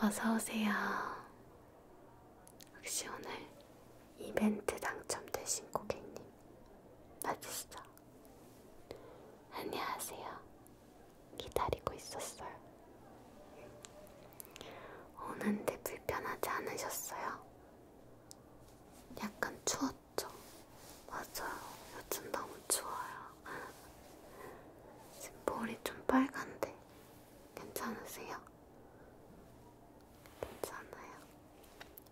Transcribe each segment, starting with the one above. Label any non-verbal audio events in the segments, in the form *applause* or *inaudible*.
어서오세요. 혹시 오늘 이벤트 당첨되신 고객님 맞으시죠? 안녕하세요. 기다리고 있었어요. 오는데 불편하지 않으셨어요? 약간 추웠죠? 맞아요. 요즘 너무 추워요. 지금 머리 좀 빨간데 괜찮으세요? 괜찮아요.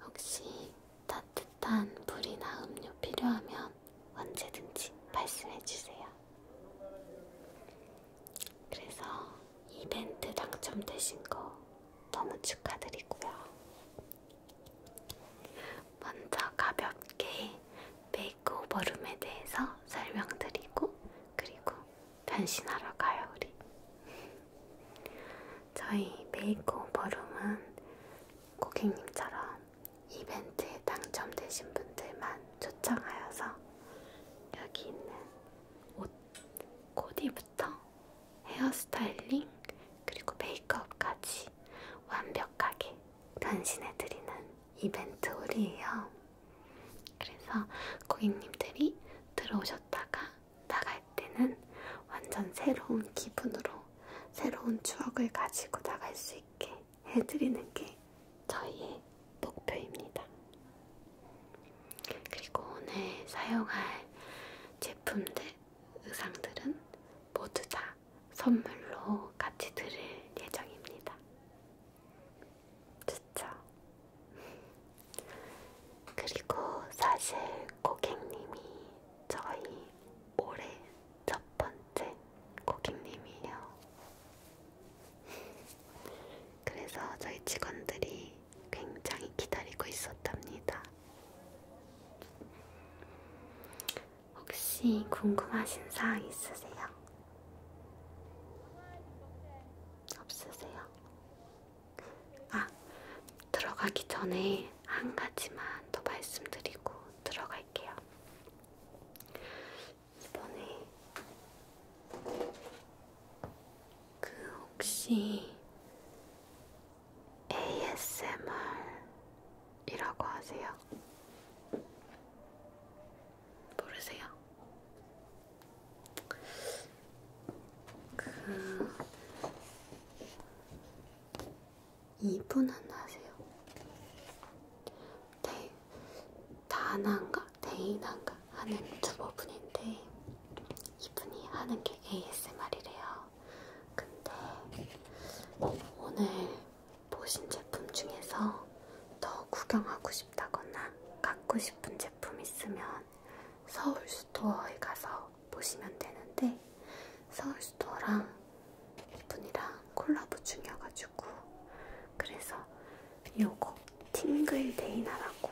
혹시 따뜻한 물이나 음료 필요하면 언제든지 말씀해주세요. 그래서 이벤트 당첨되신 거 너무 축하드리고요. 먼저 가볍게 메이크오버룸에 대해서 설명드리고 그리고 변신하러 가요 우리 저희 메이크오버룸은 고객님처럼 이벤트에 당첨되신 분들만 초청하여서 여기 있는 옷 코디부터 헤어스타일링 그리고 메이크업까지 완벽하게 변신해드리는 이벤트 홀이에요. 그래서 고객님들이 들어오셨다가 나갈 때는 완전 새로운 기분으로 새로운 추억을 가지고 나갈 수 있게 해드리는 게 저희의 목표입니다. 그리고 오늘 사용할 제품들, 의상들은 모두 다 선물로 같이 들을 예정입니다. 좋죠? 그리고 사실 고객님이 저희 올해 첫 번째 고객님이에요. 그래서 저희 직원들이 굉장히 기다리고 있었답니다. 혹시 궁금하신 사항 있으세요? 없으세요? 아, 들어가기 전에 한 가지만 더 말씀드리고 들어갈게요. 이번에 그 혹시 ASMR이라고 하세요? 모르세요? 그... 이분은 아세요? 대... 다나인가? 데이나인가? 하는 유튜버분인데 이분이 하는 게 ASMR이래요. 근데 오늘 보신 제품 중에서 더 구경하고 싶다거나 갖고 싶은 제품 있으면 서울 스토어에 가서 보시면 되는데 서울 스토어랑 일분이랑 콜라보 중이어가지고 그래서 요거 팅글데이나라고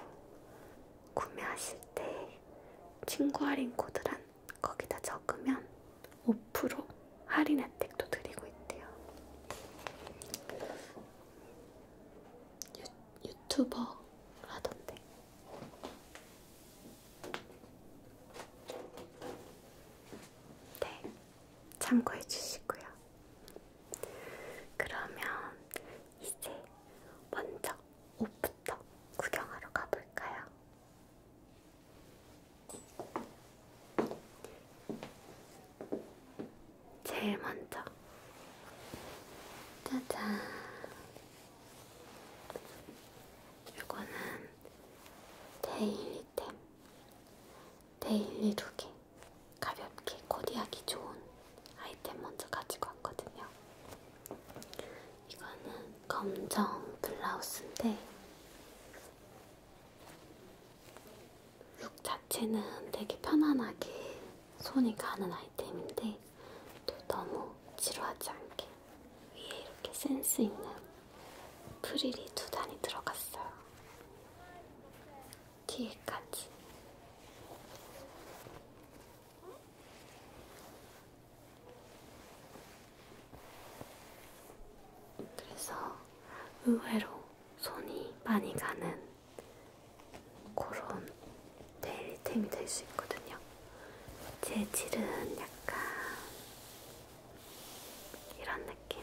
구매하실 때 친구 할인 코드란 거기다 적으면 5% 할인 혜택도 드리고 있대요. 유, 유튜버 하던데. 네, 참고해 주시고요. 그러면 이제 먼저 옷부터 구경하러 가볼까요? 제일 먼저 짜잔 이거는 데일리템 데일리 두개 가볍게 코디하기 좋은 아이템 먼저 가지고 왔거든요 이거는 검정 블라우스인데 룩 자체는 되게 편안하게 손이 가는 아이템인데 또 너무 지루하지 않게 위에 이렇게 센스 있는 프릴이 두 단이 들어갔어요. 뒤에까지. 그래서 의외로 손이 많이 가는 그런 데일리템이 될 수 있거든요. 재질은 약간 이런 느낌.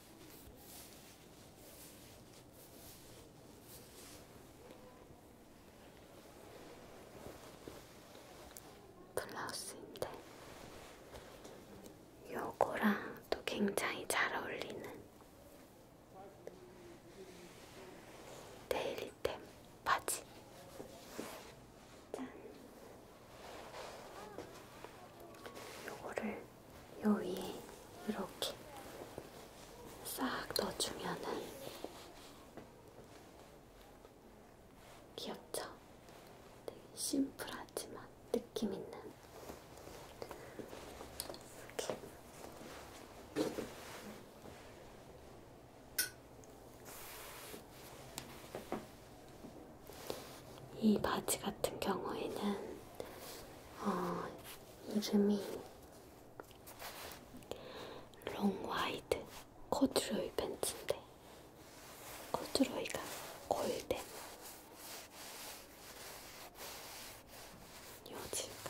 블라우스인데 요거랑 또 굉장히 잘 어울리는 데일리템 바지 짠 요거를 요 위에 이렇게 싹 넣어주면은 귀엽죠? 되게 심플하지만 느낌 있는 이렇게 이 바지 같은 경우에는 어, 이름이 롱와이드 코드로이 벤츠인데 코드로이가 골덴 여지가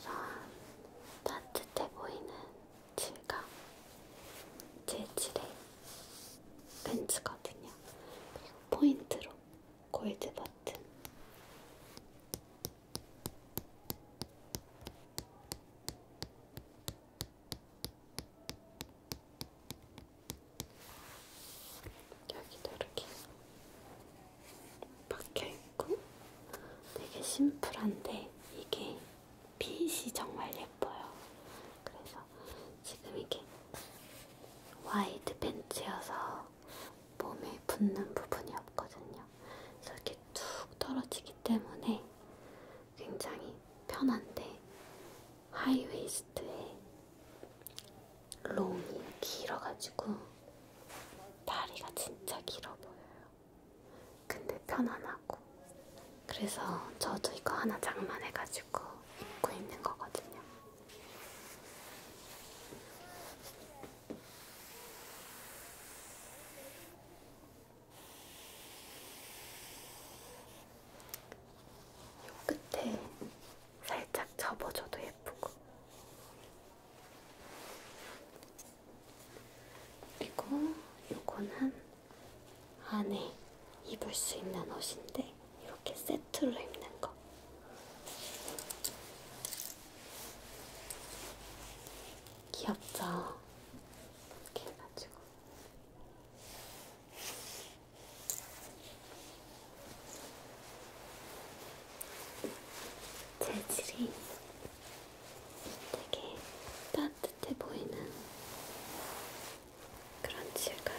이러한 따뜻해 보이는 질감 제질의 렌즈거든요. 그리고 포인트로 골드 버튼. 여기도 이렇게 박혀있고 되게 심플한데 이게 핏이 정말 예뻐요. 그래서 지금 이게 와이드 벤츠여서 몸에 붙는 부분이 없거든요. 그래서 이렇게 툭 떨어지기 때문에 굉장히 편한데 하이웨이스트에 롱이 길어가지고 다리가 진짜 길어 보여요. 근데 편안하고. 그래서 저도 이거 하나 장만해가지고 입고 있는 거거든요. 요 끝에 살짝 접어줘도 예쁘고 그리고 요거는 안에 입을 수 있는 옷인데 이렇게 세트로 입는 거. 귀엽죠? 이렇게 해가지고. 재질이 되게 따뜻해 보이는 그런 질감이에요.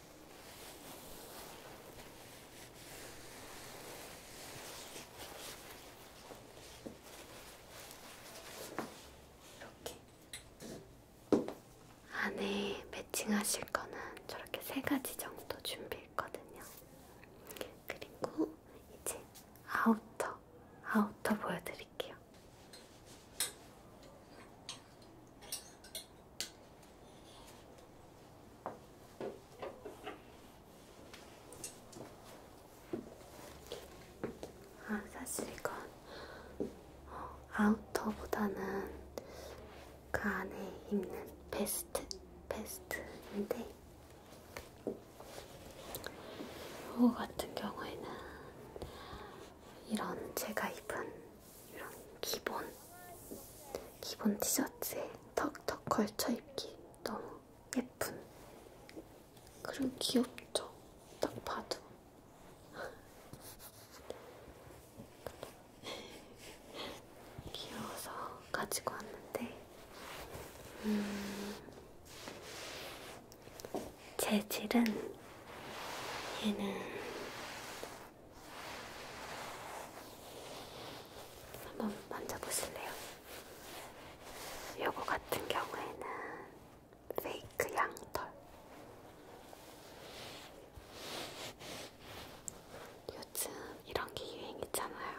이렇게 안에 매칭하실 거는 저렇게 세 가지 정도 준비했거든요. 그리고 이제 아우터, 아우터 보여드릴게요. 아, 사실 이건 어, 아우터보다는 그 안에 입는 베스트, 베스트인데, 이거 같은 경우에는 이런 제가 입은 이런 기본 기본 티셔츠에 턱턱 걸쳐 입기 너무 예쁜 그리고 귀엽죠? 딱 봐도 *laughs* 귀여워서 가지고 왔는데 음, 재질은 얘는 한번 만져보실래요? 요거 같은 경우에는 페이크 양털. 요즘 이런 게 유행이잖아요.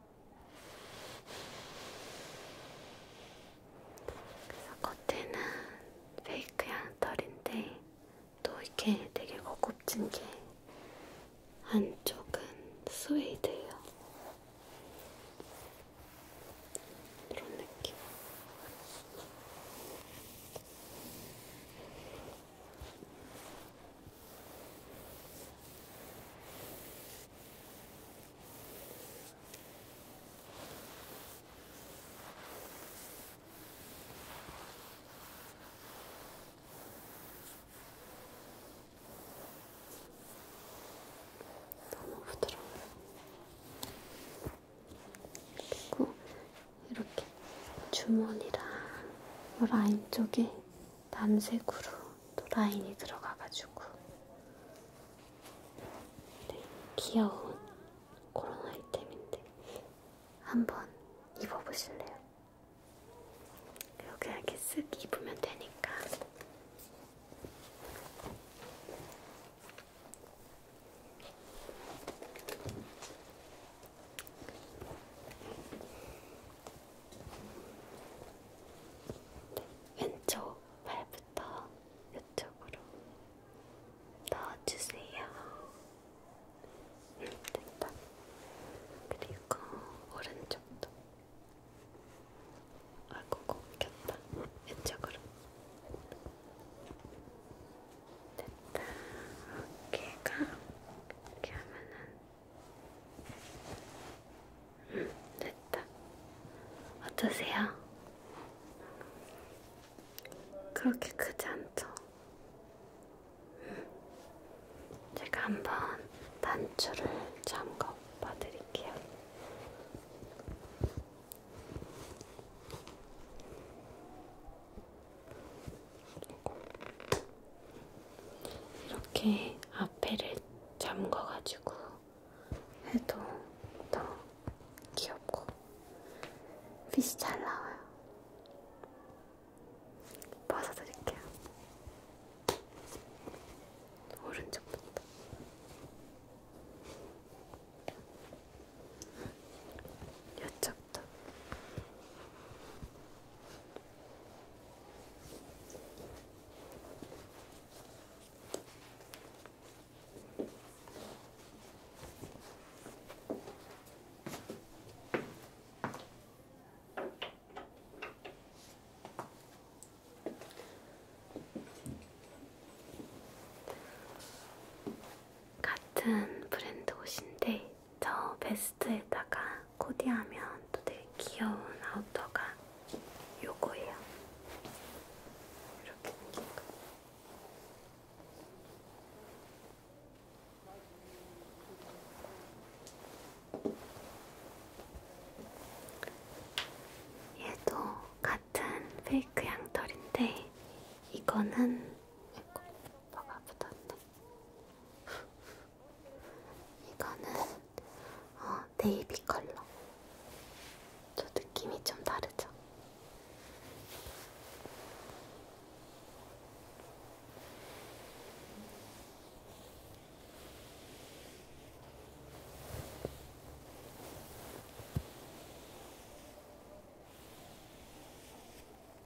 그래서 겉에는 페이크 양털인데 또 이렇게 되게 고급진 게 안쪽은 스웨이드예요. 이런 느낌. 너무 부드러워요. 그리고 이렇게 주머니랑 라인 쪽에 남색으로 또 라인이 들어가가지고 네, 귀여운 그런 아이템인데 한번 입어보실래요? 이렇게 이렇게 쓱 입으면 되니까 왼쪽 발부터 이쪽으로 넣어주세요. 됐다. 그리고 오른쪽도. 아이고, 꼽혔다. 이쪽으로. 됐다. 어깨가 이렇게 하면은 됐다. 어떠세요? 그렇게 크지 않죠? 제가 한번 단추를 잠궈봐 드릴게요. 이렇게 앞에를 잠궈가지고 해도 더 귀엽고 핏이 잘 나와요. 벗어드릴게요. 오른쪽부터. 이쪽도 같은 브랜드 옷인데 저 베스트에다가 코디하면 또 되게 귀여운 아우터가 요거예요. 이렇게 생긴 거. 얘도 같은 페이크 양털인데 이거는 뭐가 붙었네. 이거는 어, 네이비 컬러. 저 느낌이 좀 다르죠?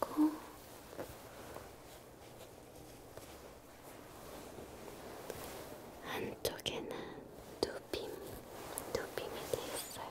그리고 한쪽에는 두빔, 두빔이 되어 있어요.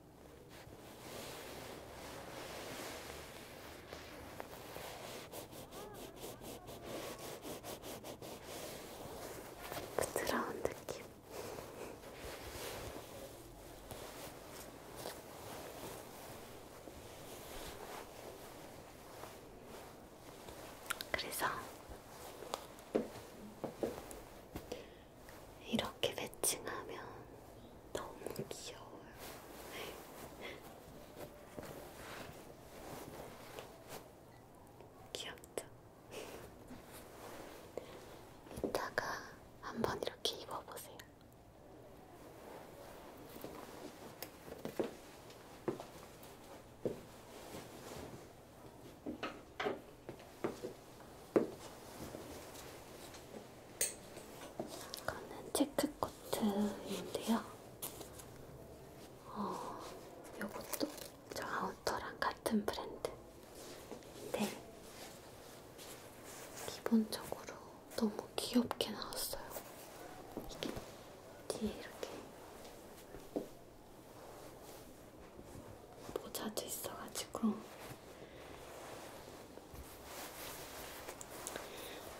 부드러운 느낌. 그래서 이렇게 매칭하면 너무 귀여워요. *laughs* 귀엽죠? 이따가 한번 이렇게 입어보세요. 이거는 체크코트인데요. 어, 요것도 저 아우터랑 같은 브랜드인데 기본적으로 너무 귀엽게 나왔어요. 이게 뒤에 이렇게 모자도 있어가지고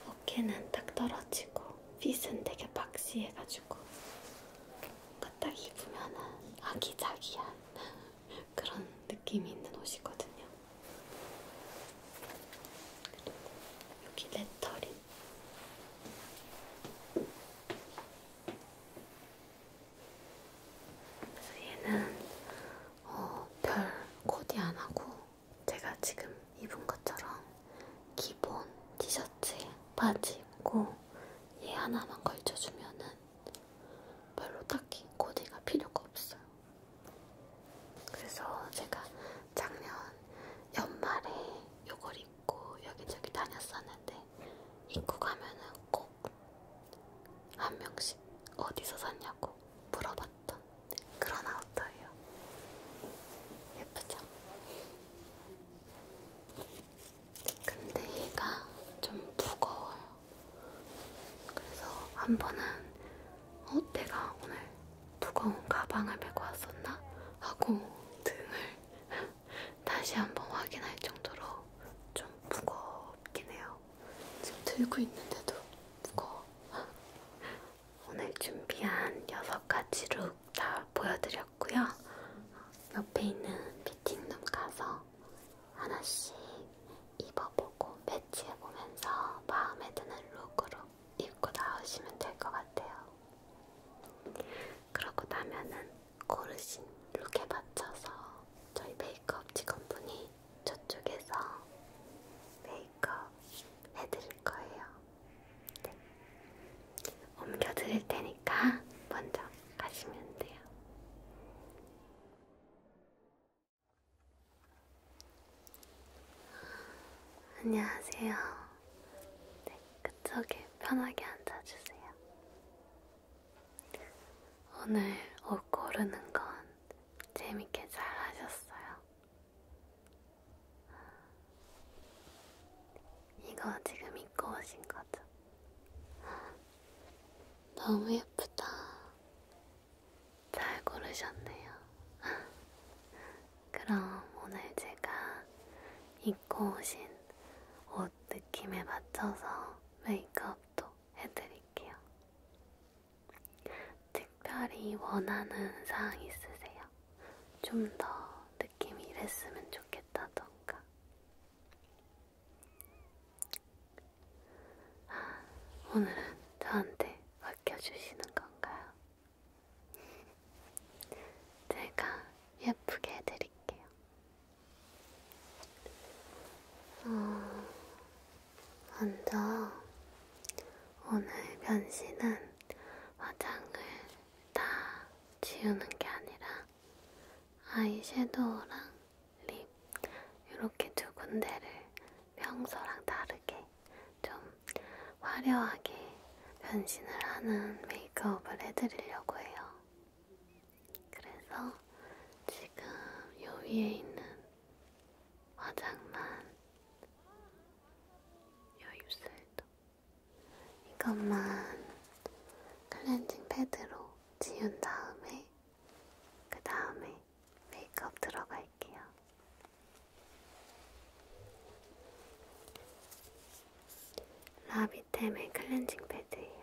어깨는 딱 떨어지고 핏은 되게 박시해가지고 뭔가 딱 입으면은 아기자기한 *laughs* 그런 느낌이 있는 옷이거든요. 그리고 여기 레터링 그래서 얘는 어, 별 코디 안 하고 제가 지금 입은 것처럼 기본 티셔츠에 바지 입고 얘 하나만 걸쳐주면은 별로 딱히 코디가 필요가 없어요. 그래서 제가 작년 연말에 요걸 입고 여기저기 다녔었는데 입고 가면은 꼭 꼭한 명씩 어디서 샀냐고 물어봤던 그런 아우터예요. 예쁘죠? 근데 얘가 좀 무거워요. 그래서 한 번은 어, 내가 오늘 무거운 가방을 메고 왔었나? 하고 등을 *laughs* 다시 한 번 확인할 정도로 좀 무겁긴 해요. 지금 들고 있는데도 무거워. *laughs* 오늘 준비한 여섯 가지 룩 다 보여드렸고요. 옆에 있는 피팅룸 가서 하나씩 입어보고 매치해보면서 마음에 드는 룩으로 입고 나오시면 될 것 같아요. 그러고 나면은 고르신 룩에 맞춰서 저희 메이크업 직원분이 저쪽에서 메이크업 해드릴 거예요. 네. 옮겨드릴 테니까 먼저 가시면 돼요. 안녕하세요. 네, 그쪽에 편하게 앉아주세요. 오늘 옷 고르는 건 재밌게 잘 하셨어요. 이거 지금 입고 오신 거죠? 너무 예쁘다. 잘 고르셨네요. 그럼 오늘 제가 입고 오신 옷 느낌에 맞춰서 메이크업도 해드릴게요. 특별히 원하는 사항 있으세요? 좀 더 느낌이 이랬으면 좋겠다던가. 아, 오늘은 저한테 맡겨주시는 건가요? *laughs* 제가 예쁘게 해드릴게요. 어, 먼저 오늘 변신은 화장을 다 지우는 게 아니라 아이섀도우랑 립 이렇게 두 군데를 평소랑 다르게 좀 화려하게 변신을 하는 메이크업을 해드리려고 해요. 그래서 지금 요 위에 있는 화장만 요 입술도 이것만 클렌징 패드로 지운 다음에 그 다음에 메이크업 들어갈게요. 라비템의 클렌징 패드예요.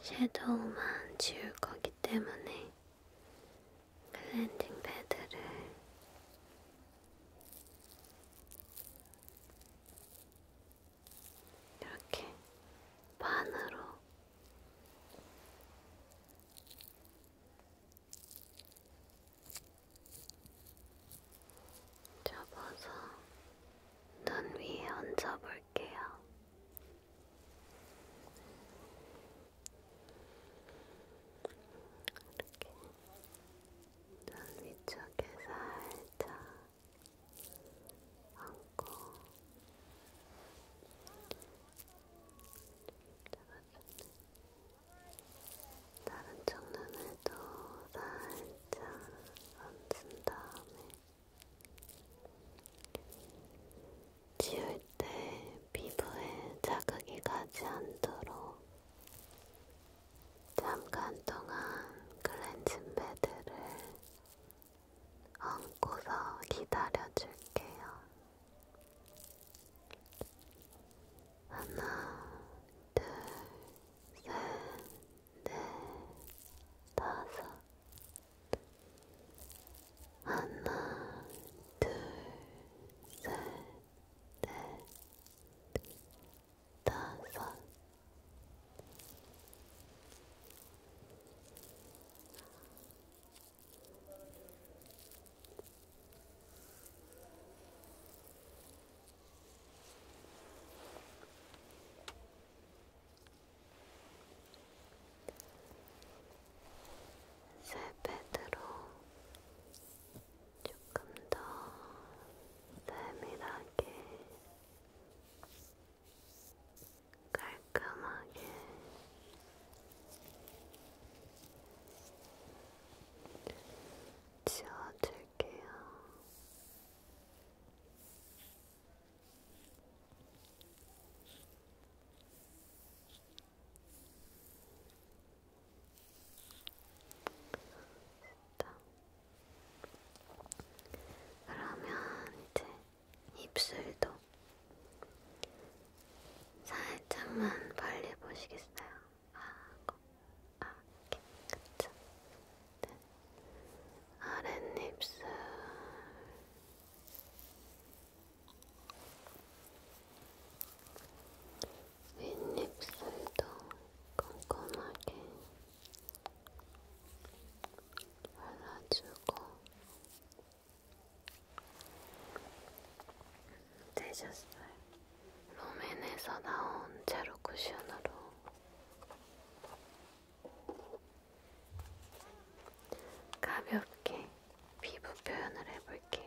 섀도우만 지울 거기 때문에 클렌징 패드를 이렇게 반으로 접어서 눈 위에 얹어볼게요. 볼게요. 이렇게 눈 위쪽에 살짝 얹고 잡았었네. 다른 쪽 눈에도 살짝 얹은 다음에 지울 때 피부에 자극이 가지 않도록 잠깐 동안 클렌징 패드를 얹고서 기다려줄게요. 하나, 둘, 셋, 다섯 하나 둘 셋 넷 다섯 쇠패드로 조금 더 세밀하게 깔끔하게 지워줄게요. 됐다. 그러면 이제 입술도 살짝만 벌려 보시겠어요? 아, 아, 이렇게, 그쵸? 아랫입술 윗입술도 꼼꼼하게 발라주고 되셨어요. 롬앤에서 나온 제로 쿠션으로 가볍게 피부 표현을 해볼게요.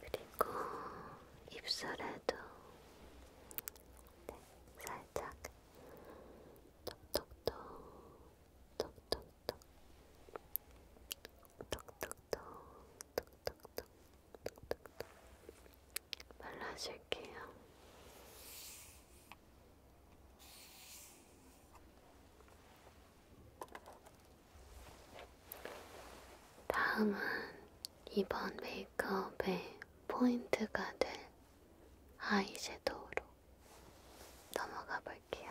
그리고 입술에도 네, 살짝 톡톡톡 톡톡톡 톡톡톡 톡톡톡 발라줄게요. 다음은 이번 메이크업의 포인트가 될 아이섀도우로 넘어가 볼게요.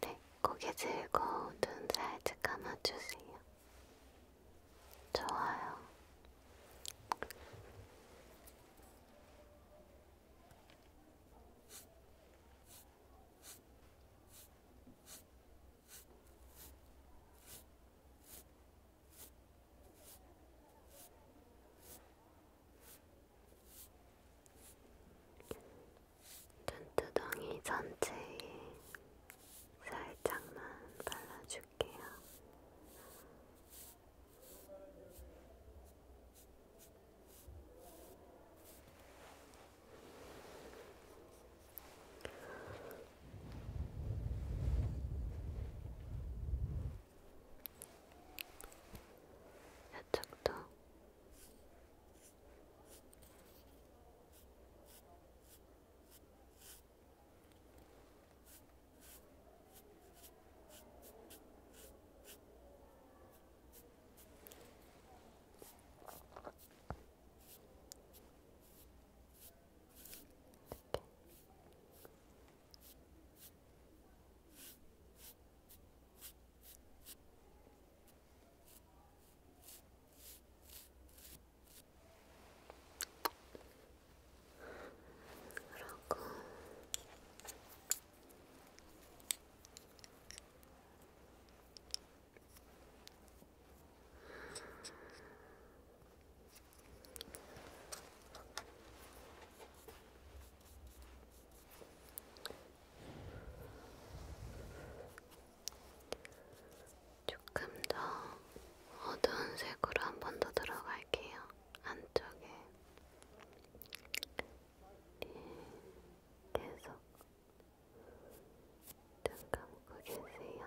네, 고개 들고 눈 살짝 감아주세요. 좋아요. 눈두덩이 전체에 살짝만 발라줄게요. 이쪽도 이렇게. 그러고 음. 조금 더 어두운 색으로 한 번 더 들어갈게요. 안쪽에 네. 계속 눈 감고 계세요.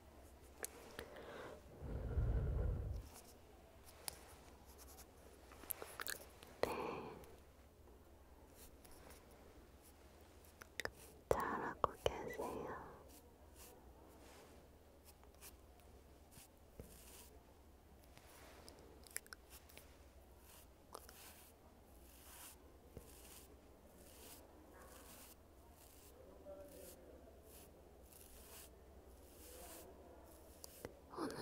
네. 잘하고 계세요. 오늘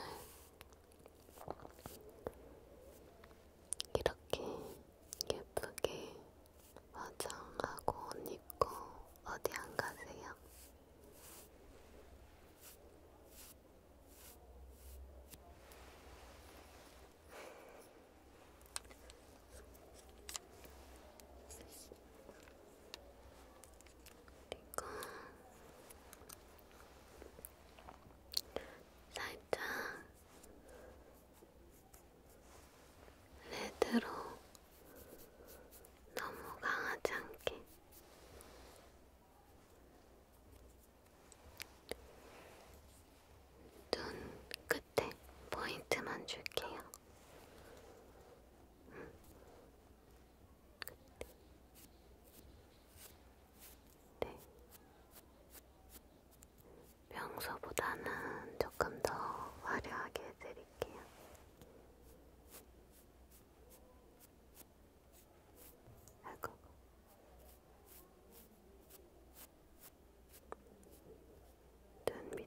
이렇게 예쁘게 화장하고 옷 입고 어디 안 가세요? 그리고 살짝 레드로 너무 강하지 않게 눈 끝에 포인트만 줄게요. 음. 네. 평소보다는 조금 더 화려하게 해드릴게요. 아이고. 눈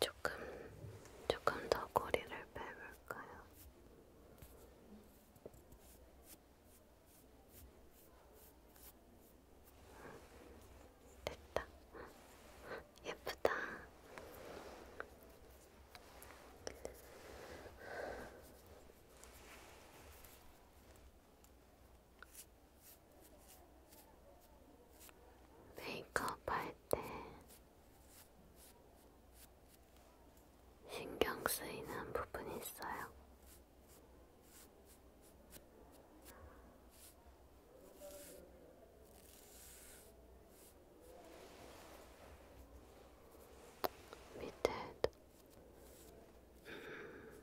조금 조금 더 거리를 빼볼까요? 됐다. 예쁘다. 메이크업 할때 신경 쓰이는 부분이 있어요. 밑에도 음,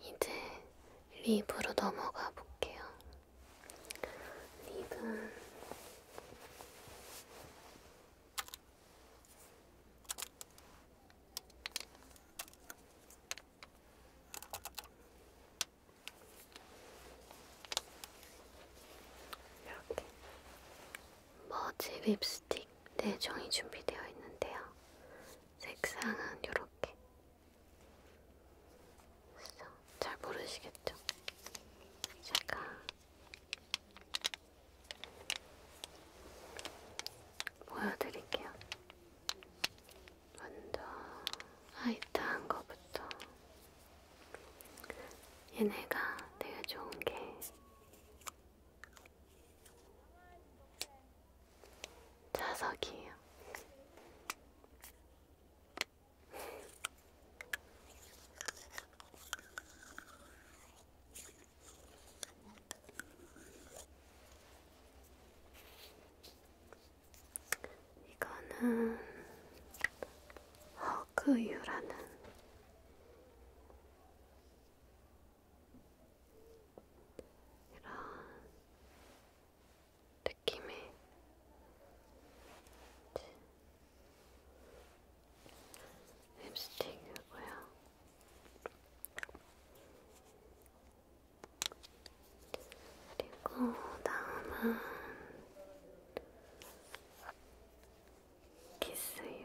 이제 립으로 넘어가 볼게요. 립은 이렇게 머지 립스틱 4종이 준비되어 있는데요. 색상은 이렇게. 잘 모르시겠죠? 제가 보여드릴게요. 먼저 화이트한 거부터. 얘네가 되게 좋은 게 자석이에요. 이거는 허그유라는 이런 느낌의 립스틱이고요. 그리고 다음은 키스유.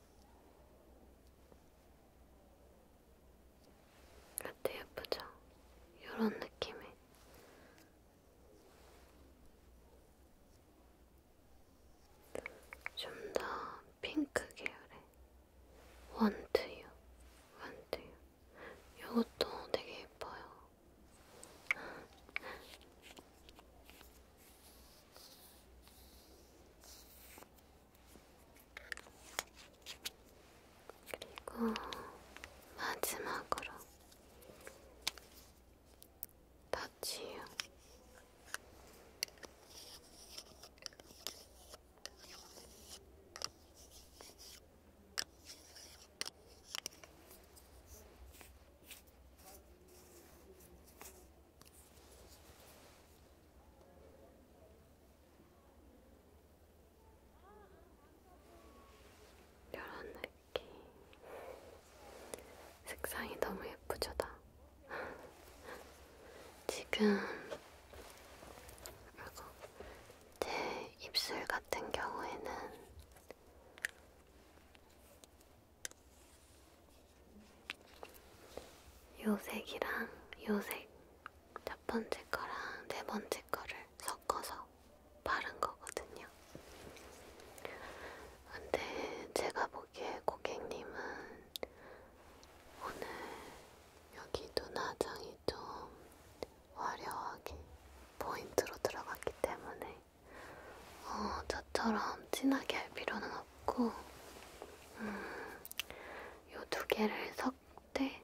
어때 예쁘죠? 이런 느낌의 좀더 핑크 계열의 원투유 원투유 이것도 되게 예뻐요 그리고 마지막으로 터치유. 이런 느낌. 색상이 너무 예쁘죠, 다. 지금 제 입술 같은 경우에는 요색이랑 요색 첫 번째 거랑 네 번째 거를 섞어서 바른 거거든요. 근데 제가 보기에 고객님은 오늘 여기 눈화장이 좀 화려하게 포인트로 들어갔기 때문에 어, 저처럼 진하게 할 필요는 없어요. 있고 음, 요두 개를 섞되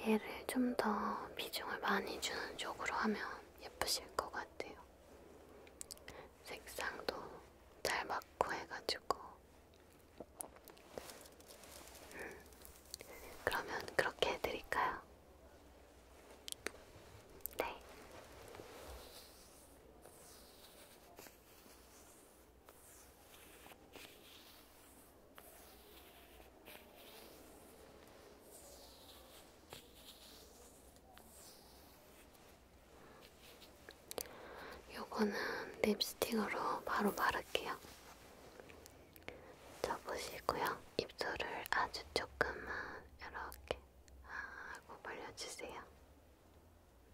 얘를 좀 더 비중을 많이 주는 쪽으로 하면 예쁘실 것 같아요. 색상도 잘 맞고 해가지고 음, 그러면 그렇게 해드릴까요? 네. 요거는 립스틱으로 바로 바를게요. 자 보시고요. 입술을 아주 조금만 이렇게 아, 하고 벌려주세요.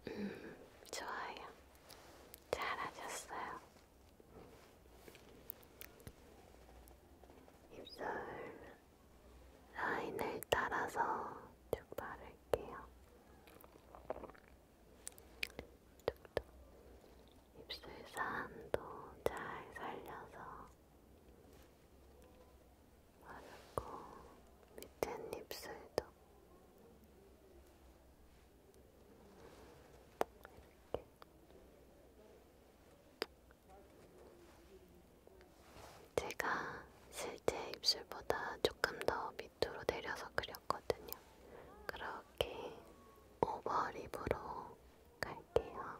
음, 좋아요. 잘하셨어요. 입술 라인을 따라서 쭉 바를게요. 툭툭. 입술 산도 잘 살려서 바르고 밑에 입술도 이렇게 제가 실제 입술보다 조금 더 밑으로 내려서 그렸거든요. 그렇게 오버립으로 갈게요.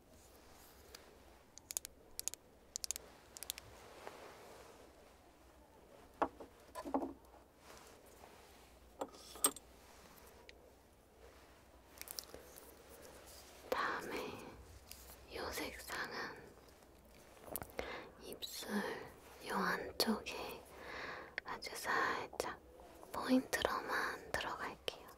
다음에 요 색상은 입술 요 안쪽에 아주 살짝 포인트로만 들어갈게요.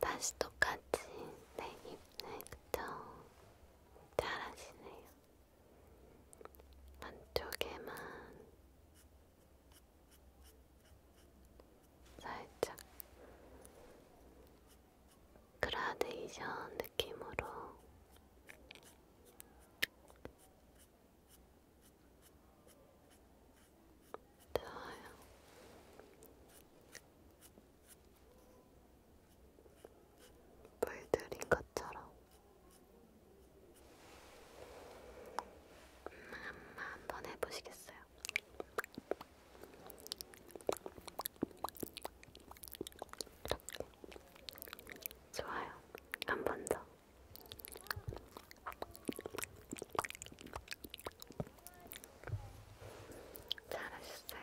다시 똑같이 내 입네 그쵸? 잘하시네요. 한쪽에만 살짝 그라데이션 느낌으로 더워요. 물들인 것처럼 엄마 한번 해보시겠어요? 이렇게 좋아요. 한 번 더. 잘하셨어요.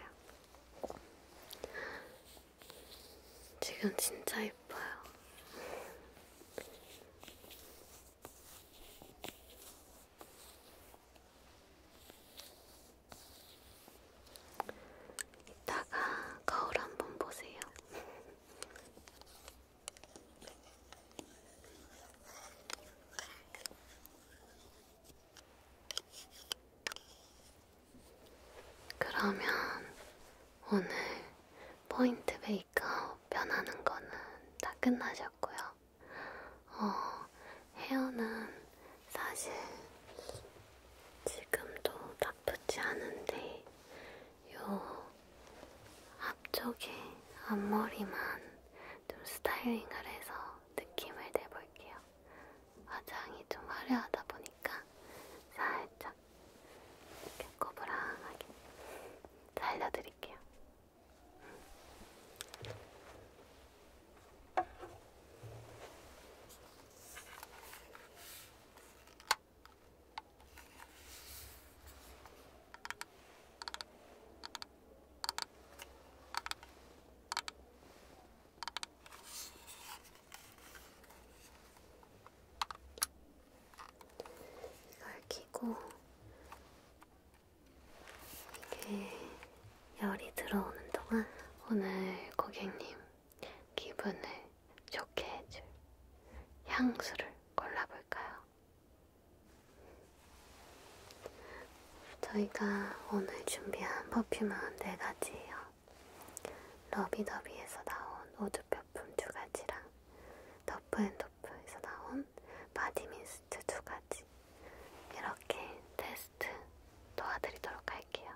지금 진짜 예뻐요. 이따가 거울 한번 보세요. *laughs* 그러면 오늘 포인트 메이크업 변하는 거는 다 끝나셨고요. 어, 헤어는 사실 지금도 다 아프지 않은데 요 앞쪽에 앞머리만 좀 스타일링을 해서 느낌을 내볼게요. 화장이 좀 화려하다 보니까 살짝 이렇게 꼬부랑하게 살려드릴게요. 이걸 키고 이게 열이 들어오는 동안 오늘 고객님 기분을 좋게 해줄 향수를 골라볼까요? 저희가 오늘 준비한 퍼퓸은 네 가지예요. 러비더비에서 나온 오드 퍼퓸 두 가지랑 더프앤더프에서 나온 바디미스트 두 가지 이렇게 테스트 도와드리도록 할게요.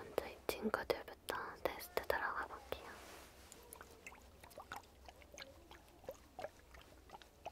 먼저 이 친구들부터 테스트 들어가 볼게요.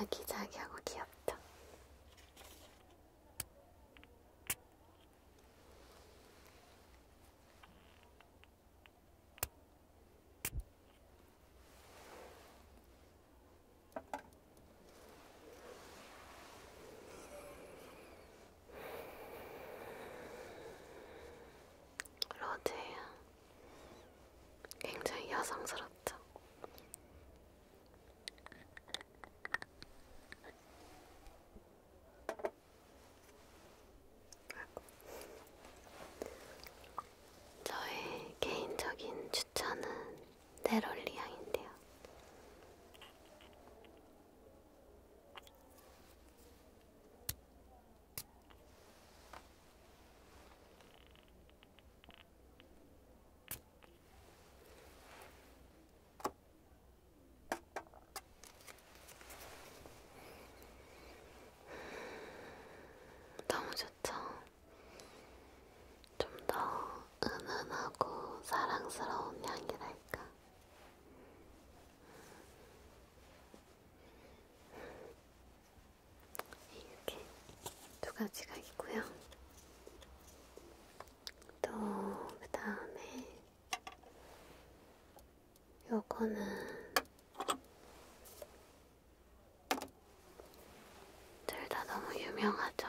아기자기하고 귀엽다. 로제야, 굉장히 여성스럽죠. 저의 개인적인 추천은 네롤리향인데요. 너무 좋죠? 좀 더 은은하고 사랑스러운 향이랄까. 이렇게 두 가지가 있고요. 또 그 다음에 요거는 둘 다 너무 유명하죠.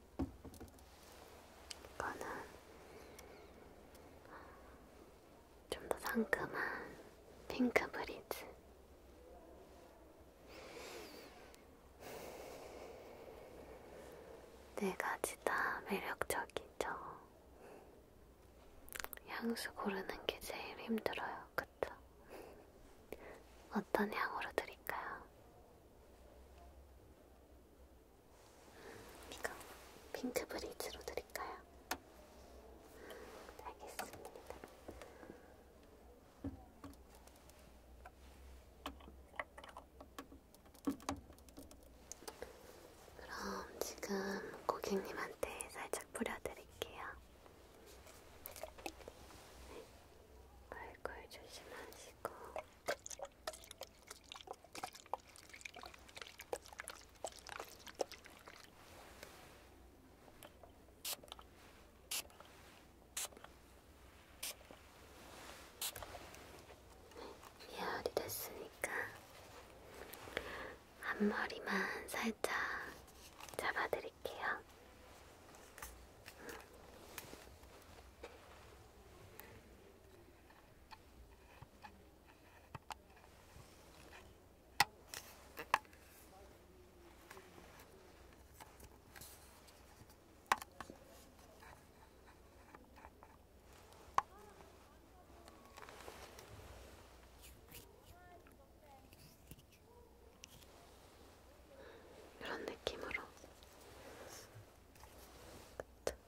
이거는 좀 더 상큼한 핑크 브리즈. 네 가지 다 매력적이죠. 향수 고르는 게 제일 힘들어요. 그쵸? 어떤 향으로 드릴까요? 이거 핑크 브릿지로 드릴까요? 알겠습니다. 그럼 지금 고객님한테 살짝 뿌려드릴게요. 네. 얼굴 조심하시고. 예열이 됐으니까 앞머리만 살짝 잡아드릴게요. 이런 느낌으로. 그쵸?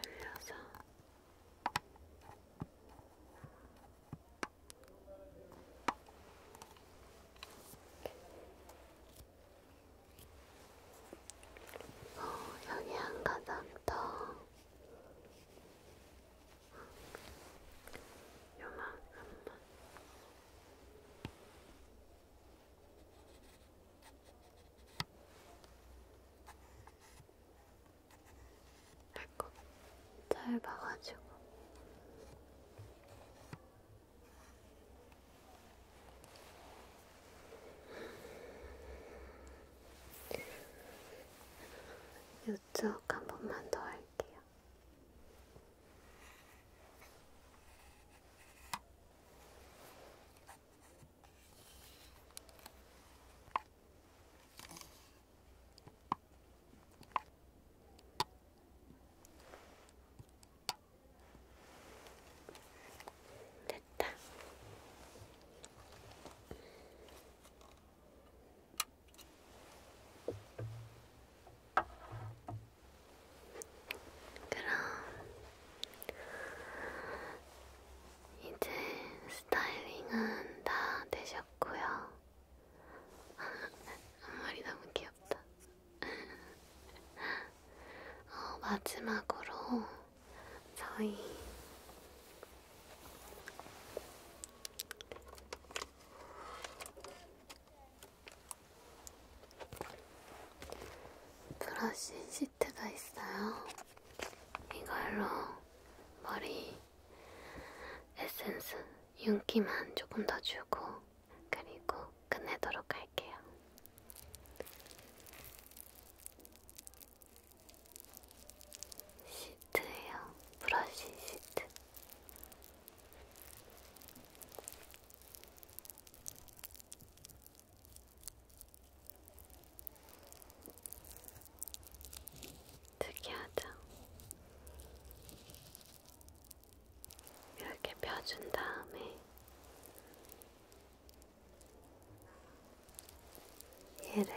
돌려서 어, 여기 한 가닥 더 요만큼만 배꼽 잘 봐가지고 이쪽 한 번만 더 할게요. 됐다. 그럼 이제 스타일링은 다 되셨고요. *laughs* 앞머리 너무 귀엽다. *laughs* 어, 마지막으로 저희 브러쉬 시트가 있어요. 이걸로 머리 에센스 윤기만 조금 더 주고 그리고 끝내도록 할게요. 시트예요. 브러쉬 시트. 특이하죠? 이렇게 펴준 다음에 얘를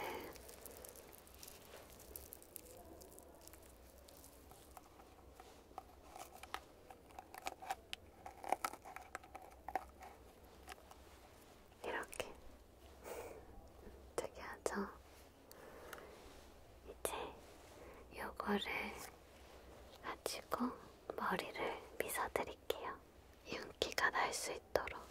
이렇게 특이하죠? *laughs* 이제 요거를 가지고 머리를 빗어드릴게요. 윤기가 날 수 있도록.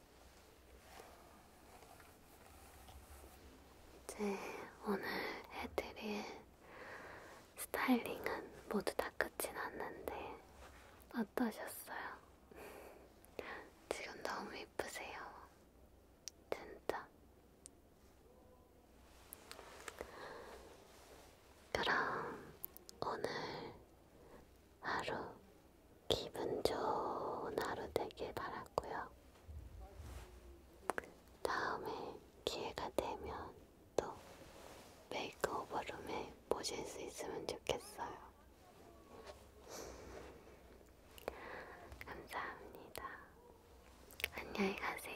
이제 오늘 해드릴 스타일링은 모두 다 끝이 났는데 어떠셨어요? 지금 너무 이쁘세요. 진짜. 그럼 오늘 하루 기분 좋은 하루 되길 바랐고요. 다음에 기회가 되면 또 메이크오버룸에 모실 수 있으면 좋겠어요. 감사합니다. 안녕히 가세요.